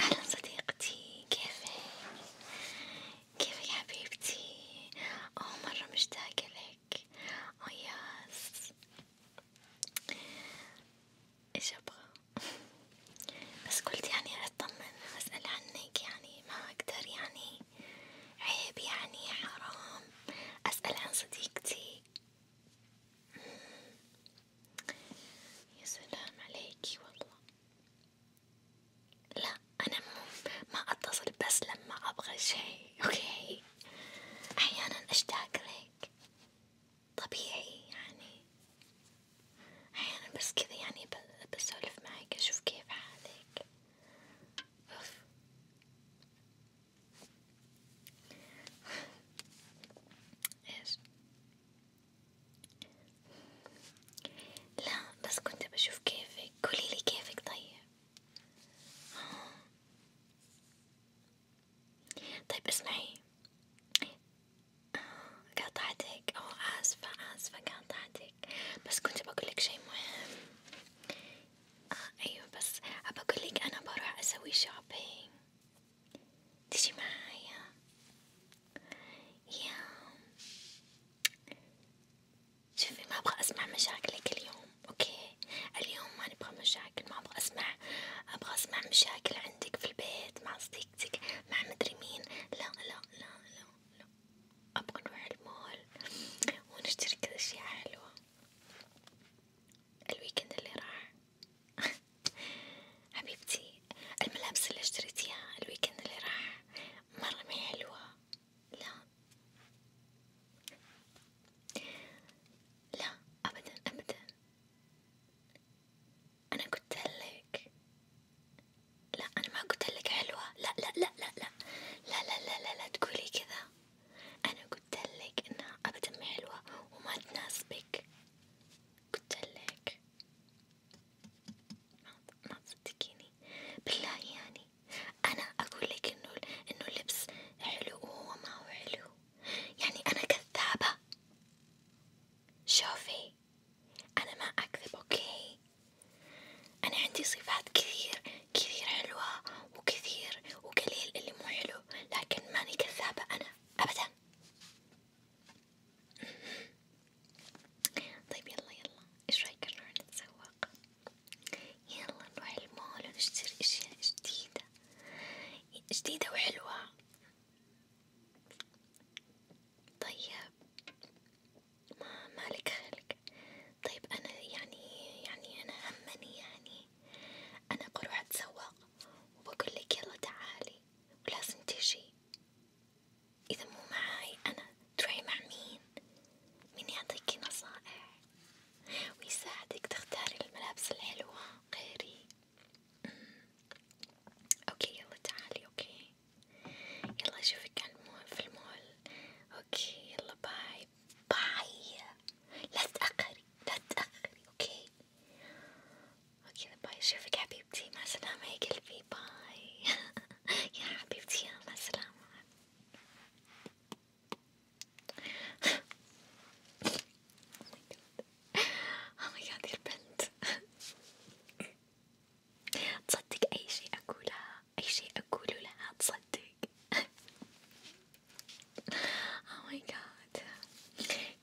أهلا صديقتي كيفك؟ كيفك حبيبتي؟ أوه مرة مشتاقة لك، أوه ياس، إيش أبغى؟ بس قلت يعني أطمن أسأل عنك يعني ما أقدر يعني عيب يعني حرام أسأل عن صديقتي يا سلام عليكي والله لا أنا ما أتصل بس لما أبغى شيء أوكي أحيانا أشتاق لك طبيعي يعني أحيانا بس كذا يعني بسولف معك أشوف كيف حالك أوف إيش؟ لا بس كنت بشوف كيفك، قوليلي كيفك طيب، طيب اسمعي قاطعتك، أو آسفة آسفة قاطعتك، بس كنت بقولك شي مهم، آه أيوة بس أبى أنا بروح أسوي شوبينج. تجي معايا يا شوفي ما ابغى اسمع مشاكلك اليوم اوكي اليوم ما نبغى مشاكل ما ابغى اسمع ابغى اسمع مشاكل عندك في البيت مع صديقتك مع مدري مين لا لا لا لا, لا. ابغى نروح المول ونشتري كذا اشياء حلوة الويكند اللي راح حبيبتي الملابس اللي اشتريتيها الويكند اللي راح مرة ما حلوة لا لا أبدا أبدا أنا قلتلك لا أنا ما قلتلك حلوة لا لا لا لا لا لا لا لا لا, لا, لا تقولي كذا أنا قلتلك انها ابدا ما حلوة وما تناسبك قلتلك ما تصدقيني بالله يعني انا اقولك انه انه اللبس حلو وهو ما هو حلو يعني انا كذابة شوفي انا ما اكذب اوكي انا عندي صفات كثير كثير حلوة وكثير وقليل اللي مو حلو حلو لكن ماني كذابة أنا أبدا طيب يلا يلا ايش رايك نروح نتسوق يلا نروح المول ونشتري اشياء جديدة جديدة وحلوة طيب ما مالك خلق طيب انا يعني يعني انا همني يعني أنا بروح أتسوق وبقول لك يلا تعالي ولازم تجي إذا مو معاي أنا تروحي مع مين؟ مين يعطيكي نصائح ويساعدك تختاري الملابس الحلوة غيري؟ أمم، أوكي يلا تعالي أوكي يلا أشوفك في المول أوكي يلا باي باي باي لا تتأخري لا تتأخري اوكي اوكي باي اشوفك حبيبتي مع السلامة يا قلبي باي يا حبيبتي يا مع السلامة اوه ماي جاد يا البنت تصدق اي شيء اقولها اي شيء اقوله لها تصدق اوه ماي جاد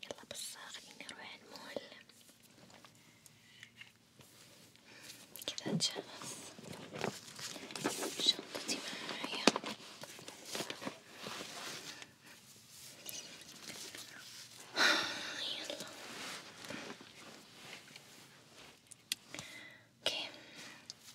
يلا بس خليني اروح المول كذا اتجهز شنطتي معايا يلا اوكي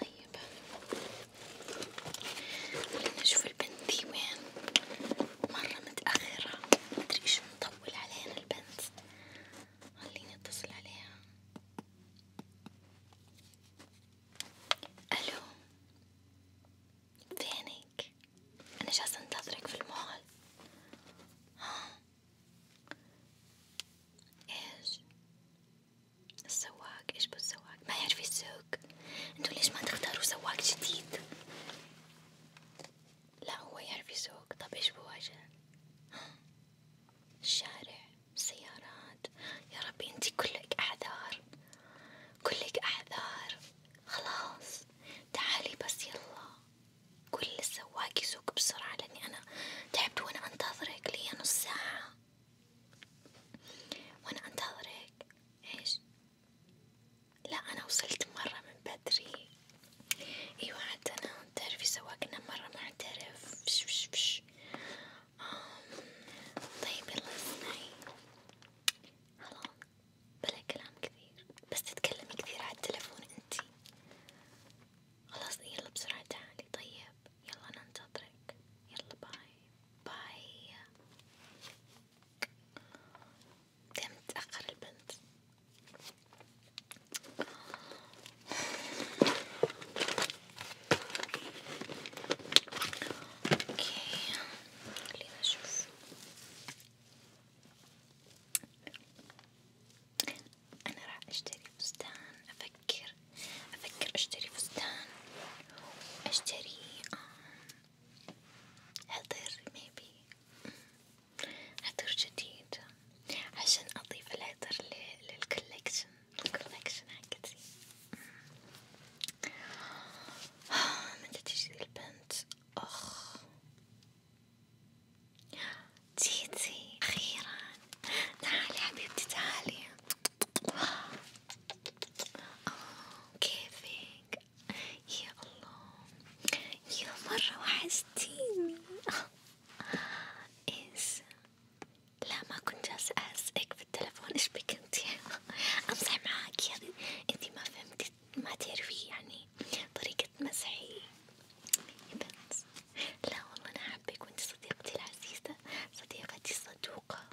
طيب خلينا نشوف البنت وين مرة متأخرة مدري ايش مطول علينا البنت خليني اتصل عليها الو فينك؟ انا جالسة انتظرك في المول ها ايش؟ السواق ايش السواق ما يعرف يسوق انتو ليش ما تختاروا سواق جديد لا هو يعرف يسوق طب ايش بواجه الشارع السيارات يا ربي انتي كلك اعذار كلك اعذار خلاص تعالي بس يلا قولي للسواق يسوق بسرعة لاني انا تعبت وانا انتظرك لي نص ساعة وأنا أنتظرك إيش؟ لا أنا وصلت مرة من بدري إيوة حتى أنا تعرفي سواقنا مرة معترف فش فش فش طيب يلا اسمعي خلاص بلا كلام كثير بس تتكلمي كثير على التلفون انتي خلاص يلا بسرعة تعالي طيب يلا ننتظرك يلا باي باي دايما تتأخر البنت اوكي خلينا نشوف انا راح اشتري فستان افكر أفكر أشتري فستان أشتري عطر ميبي عطر جديد عشان أضيف العطر للكولكشن الكولكشن حقتي آه، متى تجي البنت أخ تيتي أخيرا تعالي حبيبتي تعالي آه كيفك يا الله يا مرة وحشتيني إيش لا ما كنت جالسة أهزئك بالتلفون إيش بك انتي أمزح معاكي يعني انتي ما فهمتي ما تعرفي يعني طريقة مزحي يا بنت لا والله أنا حبك وأنت صديقتي العزيزة صديقتي الصدوقة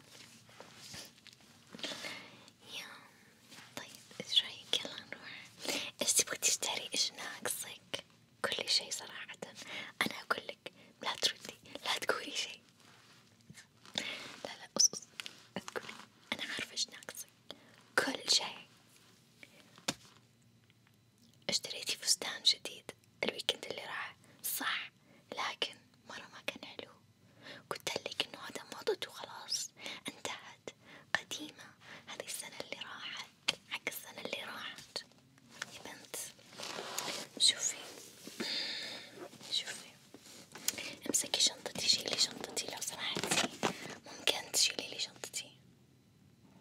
يا طيب ايش رايك يلا نروح ايش تبغي تشتري ايش ناقصك كل شي صراحة انا اقولك لا تردي لا تقولي شي لا لا اصص تقولي انا عارفة ايش ناقصك كل شي اشتريتي فستان جديد الويكند اللي راح صح لكن مرة ما كان حلو قلت لك انه هذا موضته خلاص انتهت قديمة هذه السنة اللي راحت حق السنة اللي راحت يا بنت شوفي شوفي امسكي شنطتي شيلي شنطتي لو سمحتي ممكن تشيلي لي شنطتي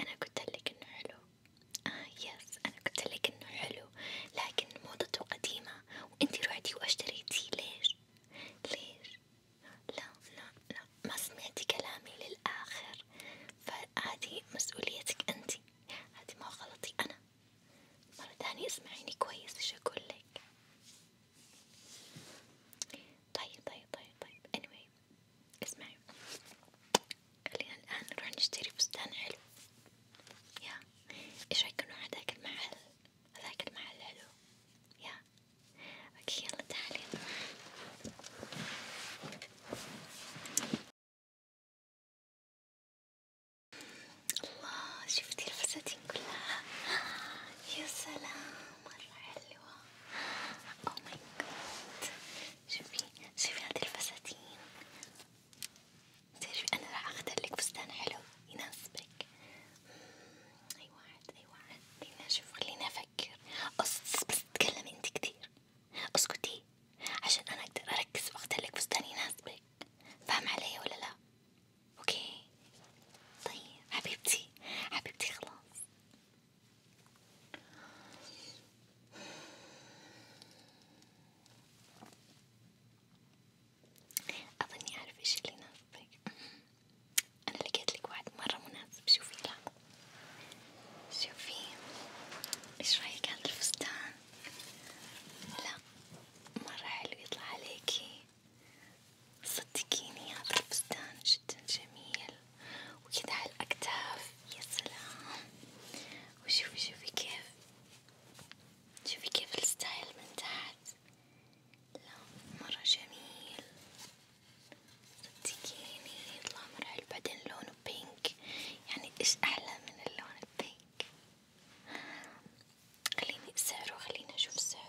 أنا قلتلك إنه حلو، آه يس أنا قلتلك إنه حلو، لكن موضته قديمة وإنتي روحتي وأشتريتيه ليش؟ ليش؟ لا لا لا ما سمعتي كلامي للآخر، فهذه مسؤوليتك إنتي، هذه ما غلطي أنا، مرة تانية اسمعيني كويس إيش أقولك. طيب طيب طيب طيب anyway اسمعي خلينا الآن نروح نشتري فستان حلو يا إيش رأيك نروح هذاك المحل هذاك المحل حلو يا اوكي يلا تعالي الله شفتي الفساتين كلها يا سلام مرة حلوة أو ماي جاد شوفي شوفي هذي الفساتين تعرفي أنا راح أختارلك فستان حلو يناسبك أي واحد أي واحد خلينا نشوف خلينا أفكر بس تتكلمي أنت كتير اسكتي عشان أنا أقدر أركز وأختارلك فستان يناسبك فاهم علي ولا لا؟ اوكي طيب حبيبتي حبيبتي خلاص اظني اعرف ايش اللي يناسبك انا لقيت لك واحد مرة مناسب شوفي لا شوفي ايش رايك هذا الفستان لا مرة حلو يطلع عليكي صدقيني هذا الفستان جدا جميل وكذا على الأكتاف يا سلام وشوفي شوفي كيف شوفي كيف الستايل من تحت لا مرة جميل صدقيني يطلع مرة حلو بعدين لونه بينك يعني ايش أحلى من اللون البينك خليني سعره خليني أشوف سعره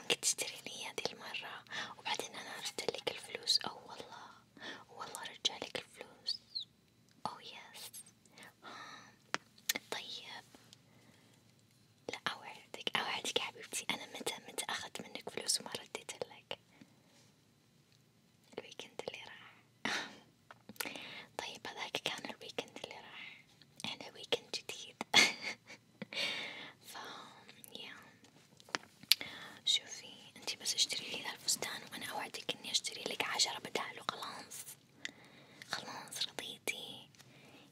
ممكن تشتري لي هذه المرة وبعدين أنا أرسلك الفلوس أو والله والله رجعلك الفلوس أو يس طيب لا أوعدك أوعدك حبيبتي أنا متى متى أخذت منك فلوس وما رديت لك الويكند اللي راح طيب هذاك كان الويكند اللي راح احنا ويكند جديد ف يا شوفي انتي بس اشتري لي ذا الفستان وانا اوعدك اني اشتري لك عشرة بداله خلاص خلاص رضيتي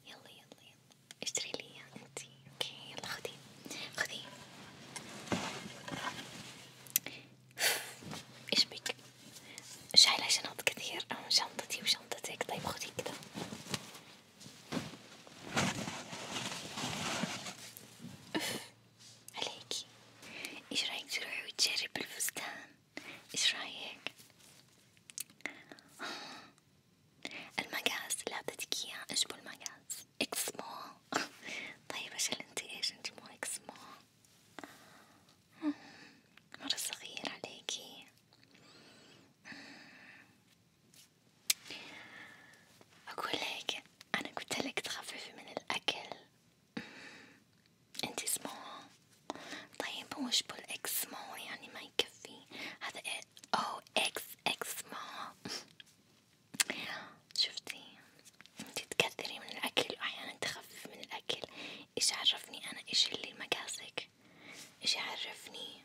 يلا يلا يلا اشتري لي اياه انتي اوكي يلا خذي خذي ايش بك شايلة شنط كثير أو شنطتي وشنطتك طيب خذي كذا عليكي ايش رايك تروحي وتجرب الفستان ايش رايك المقاس لا اعطيتك اياه ايش المقاس اكس مو طيب عشان انتي ايش انتي مو اكس مو مرة صغير عليكي أقول لك أنا قلت لك تخففي من الأكل أنتي سمول طيب هو إيش بالإكس سمول يعني ما يكفي هذا إيه؟ أو إكس إكس سمول شفتي أنتي تكثري من الأكل وأحيانا تخففي من الأكل إيش عرفني أنا إيش اللي مقاسك إيش عرفني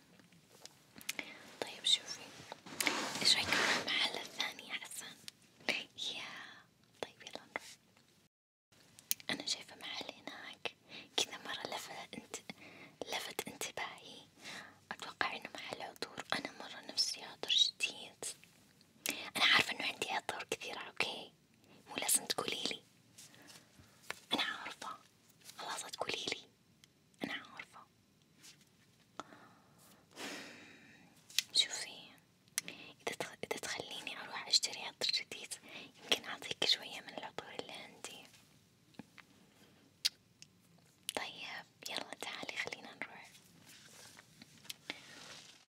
طيب شوفي إيش رأيك نروح المحل الثاني أحسن يا طيب يلا نروح أنا شايفة محل هناك كذا مرة لفت انت لفت انتباهي أتوقع إنه محل عطور أنا مرة نفسي عطر جديد أنا عارفة إنه عندي عطور كثيرة أوكي مو لازم تقوليلي أنا عارفة خلاص تقوليلي أنا عارفة شوفي إذا تخليني أروح أشتري عطر جديد يمكن أعطيك شوية من العطور اللي عندي طيب يلا تعالي خلينا نروح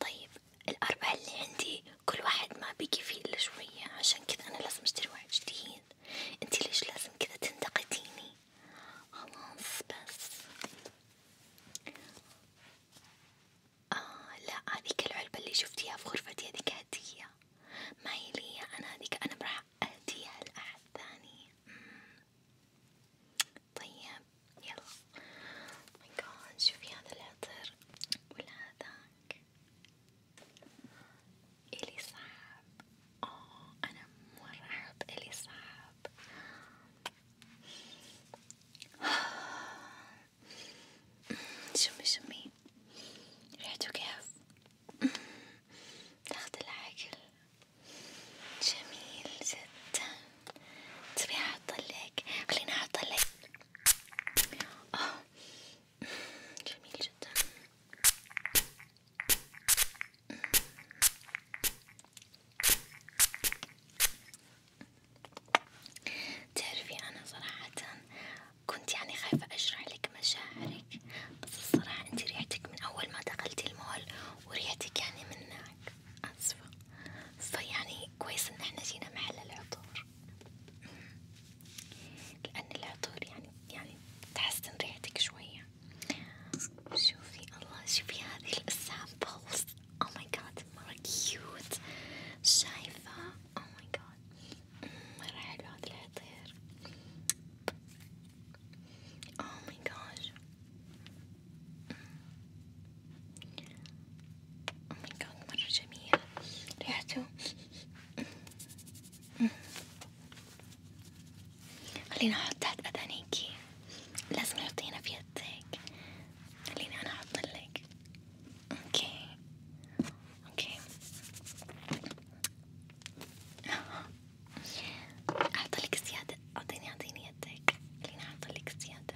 طيب الأربعة اللي عندي كل واحد ما بيكفي إلا شوية عشان كذا أنا لازم أشتري واحد جديد، أنتي ليش لازم كذا تنتقديني؟ خلاص بس، آه لا هذيك العلبة اللي شفتيها في غرفتي هذيك هدية، ما هي لي أنا هذيك أنا راح أهديها لأحد ثاني. طيب يلا ماي oh جاد شوفي هذا العطر ولا هذاك إلي صعب اوه انا مرة احب إلي صعب شمي شمي ريحته كيف تاخد العقل جميل جدا تبي احطلك خليني احطلك آه. جميل جدا تعرفي انا صراحة كنت يعني خايفة اشرح لك مشاعرك بس الصراحة انت ريحتك من اول ما دخلتي المول وريحتك يعني من هناك أسفة فيعني كويس إن احنا جينا محل العطور لأن العطور يعني يعني تحسن ريحتك شوية شوفي الله شوفي هذه السامبلز أو ماي جاد مرة كيوت شايفة أو ماي جاد مرة حلو هذا العطير أو ماي جاد Oh my god مرة جميل ريحته خليني أحط تحت أذانيكي لازم تحطينها في يدك خليني أنا أحطلك أوكي أوكي أحطلك زيادة أعطيني أعطيني يدك خليني أحطلك زيادة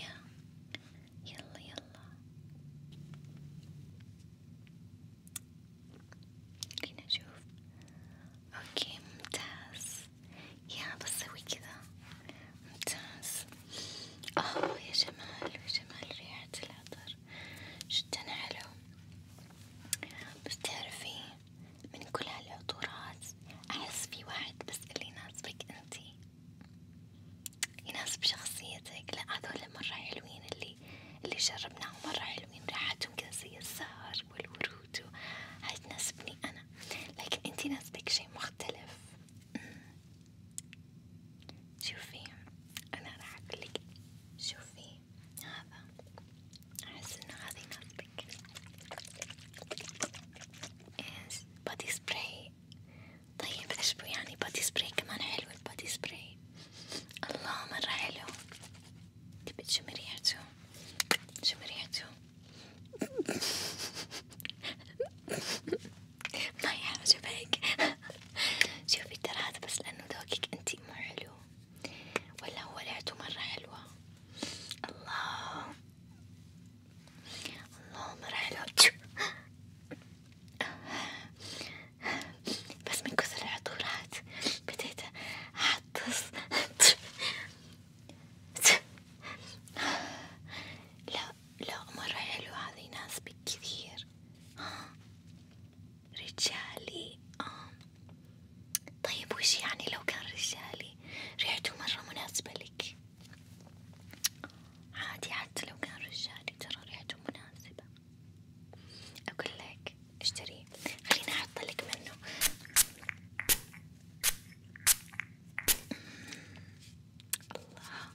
يا يلا يلا خليني أشوف أوكي ممتاز يا بسوي كذا ممتاز أوه يا جمال يا جمال ريحة العطر جدا حلو بس تعرفي من كل هالعطورات أحس في واحد بس اللي يناسبك أنتي يناسب شخصيتك، لا هذول مرة حلوين اللي اللي جربناهم مرة حلوين ريحتهم كذا زي الزهر والورود هاي تناسبني أنا، لكن أنتي يناسبك شي مختلف، شوفي أنا راح أقولك شوفي هذا أحس إن هذي يناسبك إيش بادي سبراي طيب إيش يعني بادي سبراي كمان حلو البادي سبراي الله مرة حلو تبي تشم ريحته شم ريحته ما يعجبك شوفي ترى هذا بس لأنه ذوقك أنتي مو حلو ولا هو ريحته مرة حلوة الله الله مرة حلوة بس من كثر العطورات بديت أعطس لا لا مرة حلوة هذي ناس كثير رجالي آه. طيب وش يعني لو كان رجالي ريحته مرة مناسبة لك عادي حتى لو كان رجالي ترى ريحته مناسبة أقول لك اشتريه خليني أحطلك منه الله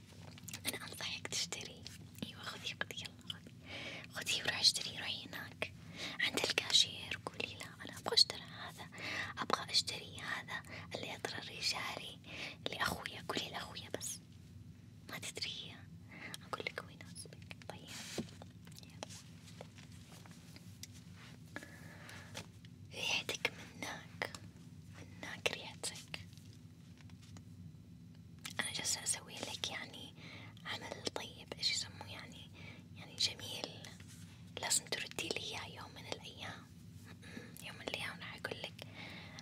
أنا أنصحك تشتري أيوة خذي خذي يلا خذي وروحي اشتري روحي هناك عند الكاشير قولي لا أنا أبغى أشتري هذا أبغى أشتري هذا اللي يضرر رجالي لأخويا قولي لأخويا بس ما تدري هي أقول لك هو يناسبك طيب ريحتك منك منك ريحتك أنا جالسة أسوي لك يعني عمل طيب إيش يسموه يعني يعني جميل لازم تردي لي إياه يوم من الأيام يوم من الأيام راح أقول لك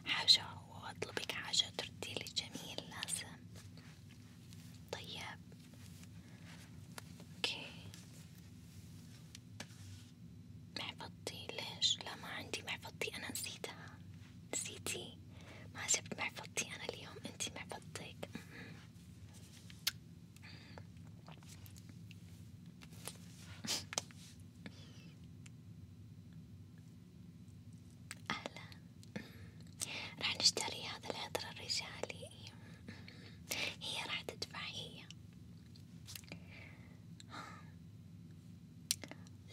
حاجة وأطلبك حاجة تردي لي جميل لازم طيب أوكي محفظتي ليش لا ما عندي محفظتي أنا نسيتها نسيتي ما جبت محفظتي أنا اليوم أنتي محفظتك أهلا راح نشتري هذا العطر الرجالي هي راح تدفع هي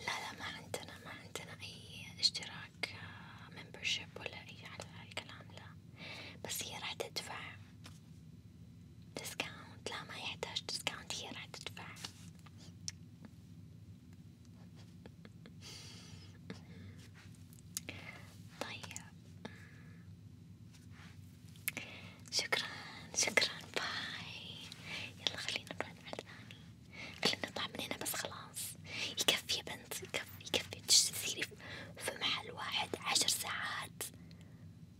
لا لا ما عندنا ما عندنا أي اشتراك آه، membership ولا أي على هالكلام لا بس هي راح تدفع discount لا ما يحتاج discount هي راح تدفع طيب شكرا شكرا باي يلا خلينا نروح مع الثاني قال لنا طلع من هنا بس خلاص يكفي يا بنت يكفي يكفي تسيري في محل واحد عشر ساعات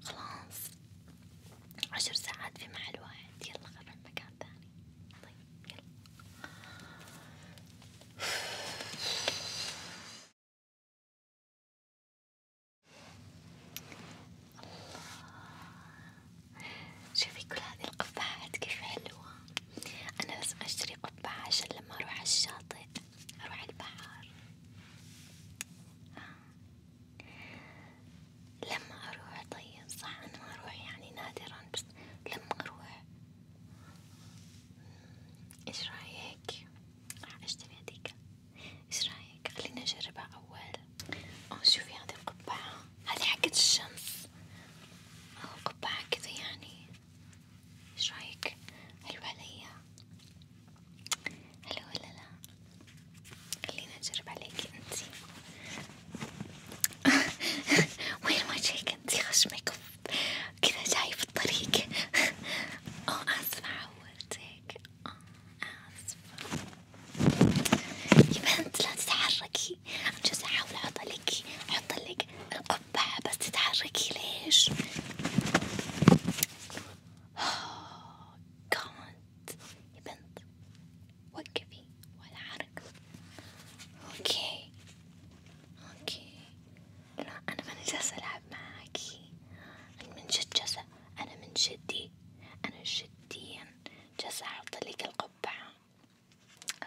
خلاص عشر ساعات في محل واحد يلا غير مكان ثاني طيب يلا الله شوفي كل هذه القبعات كيف حلوة، أنا لازم أشتري قبعة عشان لما أروح على أروح البحر، آه. لما أروح طيب صح أنا ما أروح يعني نادرا بس لما أروح، إيش رأيك؟ راح أشتري هذيك، إيش رأيك؟ خليني أجربها أول شوفي هذه القبعة هذه حقت الشمس أو قبعة كذا يعني ايش رايك حلوة عليا حلوة ولا لا خلينا نجرب عليكي انتي وين وجهك انتي خشمك كذا جاي في الطريق أو آسفة عورتك آسفة يبقى انت لا تتحركي عن جد احاول احط لك احط لك القبعة بس تتحركي ليش؟ كانت يا بنت وقفي ولا حركة اوكي اوكي لا انا ماني جالسة العب معاكي انا من جد جالسة انا من جدي انا جديا جالسة احط لك القبعة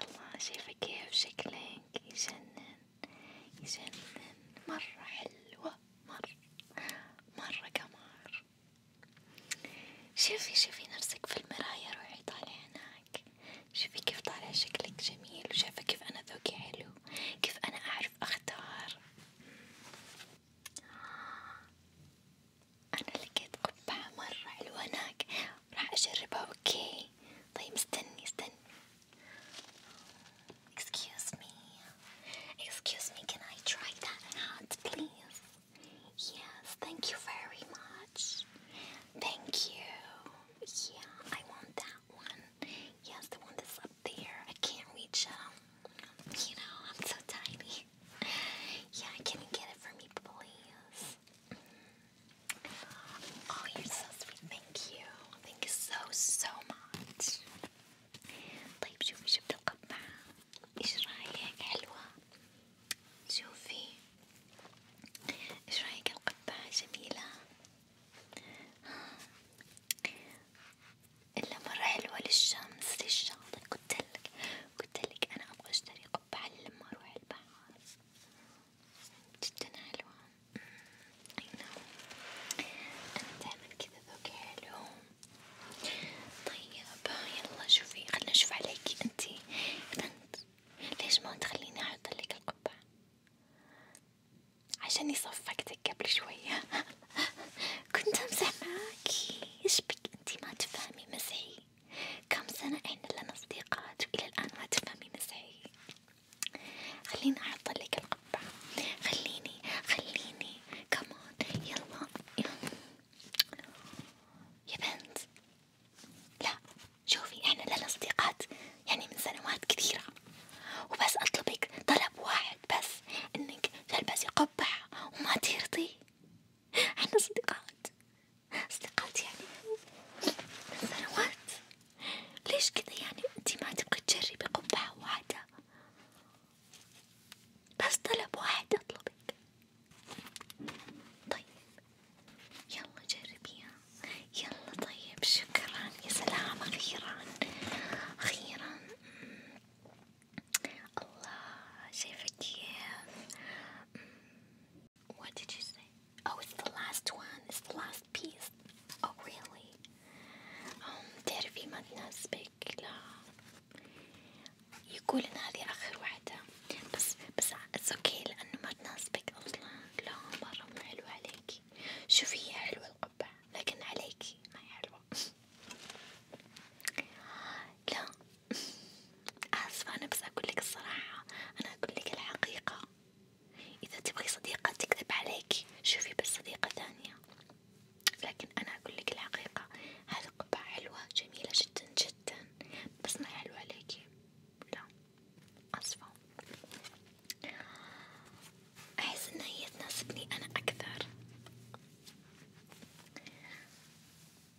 الله شايفة كيف شكلك يجنن يجنن مرة حلوة مرة مرة قمر شوفي شوفي نفسك في المراية روحي طالع هناك شوفي كيف طالع شكلك جميل وشايفة كيف أنا ذوقي حلو كيف أنا أعرف أختار أنا لقيت قبعة مرة حلوة هناك راح أجربها أوكي طيب استني استني Excuse me Excuse me can I try that hat please Yes thank you very much Thank you Yeah I want that one Yes the one that's up there I can't reach um You know I'm so tiny yeah, can you get it for me, please? Oh, you're so sweet. Thank you. Thank you so, so much. طيب شوفي جبت القبعة. ايش رايك حلوة؟ شوفي. ايش رايك القبعة جميلة؟ إلا مرة حلوة للشمس للشاطئ قلتلك قلتلك أنا أبغى أشتري أقبع لما أروح البحر جدا حلوة أي نعم أنا دايما كذا ذوقي حلو طيب يلا شوفي خلنا نشوف عليكي أنتي بنت ليش ما تخليني أحطلك القبعة عشاني صفقتك قبل شوية كنت أمزح معاكي إيش بك أنتي ما تفهمي مزحي كم سنة احنا لنا صديقات وإلى الآن ما تفهمي مزحي خليني أحطلك القبعة خليني خليني كمان يلا يا بنت لا شوفي احنا لنا صديقات يعني من سنوات كثيرة وبس أطلبك طلب واحد بس إنك تلبسي قبعة وما ترضي احنا صديقات صديقات يعني من سنوات ليش كذا يعني انتي ما تبغي تجربي قبعة واحدة بس طلب واحد اطلبك طيب يلا جربيها يلا طيب شكرا يا سلام اخيرا اخيرا الله شايفة كيف What did you say? Oh, it's the last one. It's the last piece. Oh, really? Um, تعرفي ما تناسبك لا يقول إن هذه آخر واحدة بس بس it's okay لأنه ما تناسبك أصلا لا مرة مو حلوة عليكي شوفي هي حلوة القبعة لكن عليكي ما هي حلوة لا آسفة أنا بس أقول لك الصراحة أنا أقول لك الحقيقة إذا تبغي صديقة تكذب عليك شوفي بس صديقة ثانية لكن أنا أقول لك الحقيقة هذه قبعة حلوة جميلة جدا جدا بس ما حلوة عليكي لا آسفة أحس إن هي تناسبني أنا أكثر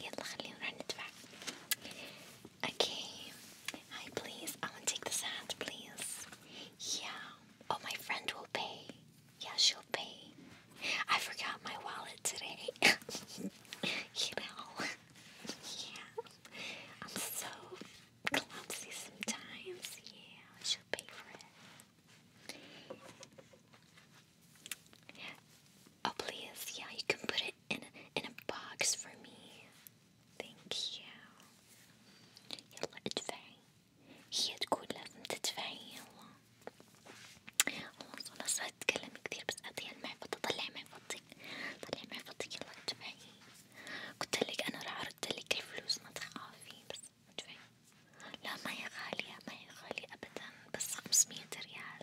يلا خلينا نروح ندفع. Okay. Hi please. I want to take this hat please. Yeah. Oh my friend will pay. Yeah, she'll pay. I forgot my wallet today. you know. yeah. I'm so clumsy sometimes. Yeah, she'll pay for it. Oh please, yeah, you can put it in a, in a box for me. Thank you. يلا ادفعي. هي تقول لازم تدفعي يلا. والله صراحة صارت أتكلم كثير بس أعطيها المحفظة طلعي محفظتك. طلعي محفظتك يلا ادفعي. قلت لك أنا راح أرد لك الفلوس ما تخافي بس ادفعي. لا ما هي غالية ما هي غالية أبدا بس خمسمية ريال.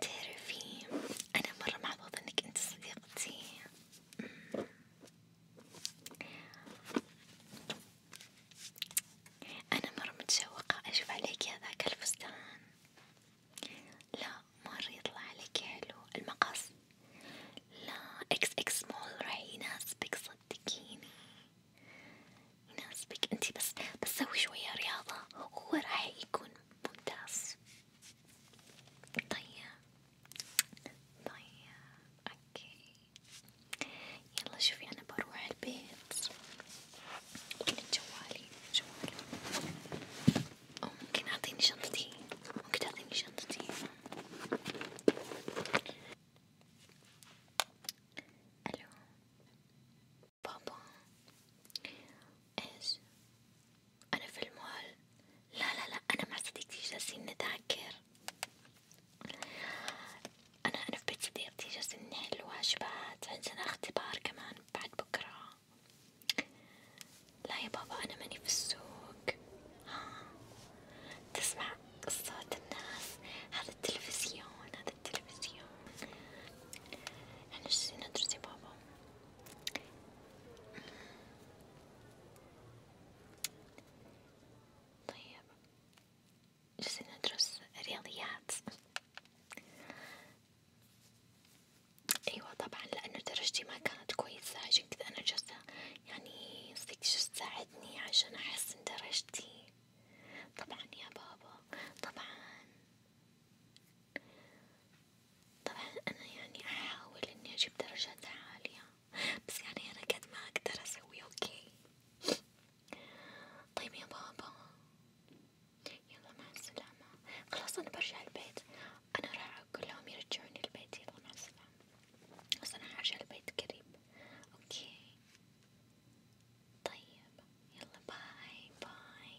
تعرفي أنا مرة محظوظة إنك أنت صديقتي أمم. أنا مرة متشوقة أشوف عليك هذاك الفستان لا مرة يطلع عليك حلو المقص لا اكس اكس مول راح يناسبك صدقيني يناسبك انتي بس بس سوي شوية رياضة وهو راح يكون ممتاز طيب طيب اوكي يلا شوفي انا بروح البيت وين جوالي جوالي أو ممكن اعطيني شنطتي ممكن تعطيني شنطتي الو بابا ايش انا في المول لا لا لا انا مع صديقتي جالسين نتذاكر انا انا في بيت صديقتي جالسين نحل واجبات عندنا اختبار كمان بعد بكرة لا يا بابا انا ماني في السوق ها تسمع صوت الناس هذا التلفزيون هذا التلفزيون احنا جالسين ندرس يا بابا طيب جالسين ندرس رياضيات أيوة طبعا لأنه درجتي ما كانت كويسة عشان كذا أنا جالسة يعني صديق جالسة تساعدني عشان أحسن درجتي طبعا يا بابا طبعا طبعا أنا يعني أحاول إني أجيب درجات عالية بس يعني أنا قد ما أقدر أسوي أوكي طيب يا بابا يلا مع السلامة خلاص أنا برجع البيت أنا راح أقول لهم يرجعوني البيت يلا مع السلامة بس أنا حرجع البيت قريب أوكي طيب يلا باي باي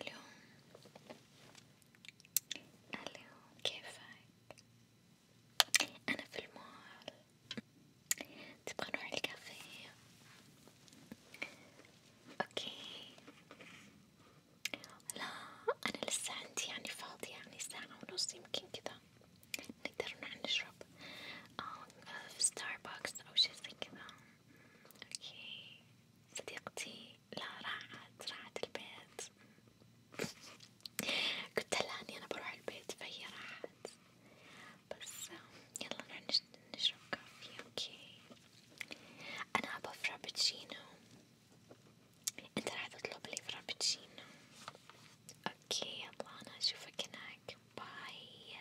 ألو ألو كيفك؟ أنا في المول تبغى نروح الكافيه؟ أوكي لا أنا لسه عندي يعني فاضية يعني ساعة ونص يمكن كذا نقدر نروح نشرب في ستاربكس أو شي زي كذا اوكي صديقتي لا راحت راحت البيت قلت لها اني انا بروح البيت فهي راحت بس يلا نروح نشرب كافي اوكي انا ابغى فرابتشينو انت راح تطلب لي فرابتشينو اوكي يلا انا اشوفك هناك باي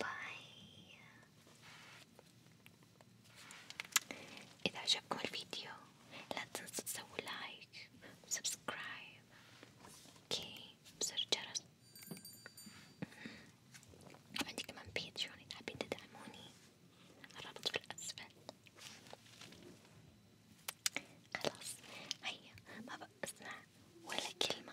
باي إذا عجبكم الفيديو لا تنسوا تسووا لايك وسبسكرايب اوكي بزر جرس عندي كمان بيتريون إذا حابين تدعموني الرابط في الأسفل خلاص هيا ما بقى اسمع ولا كلمة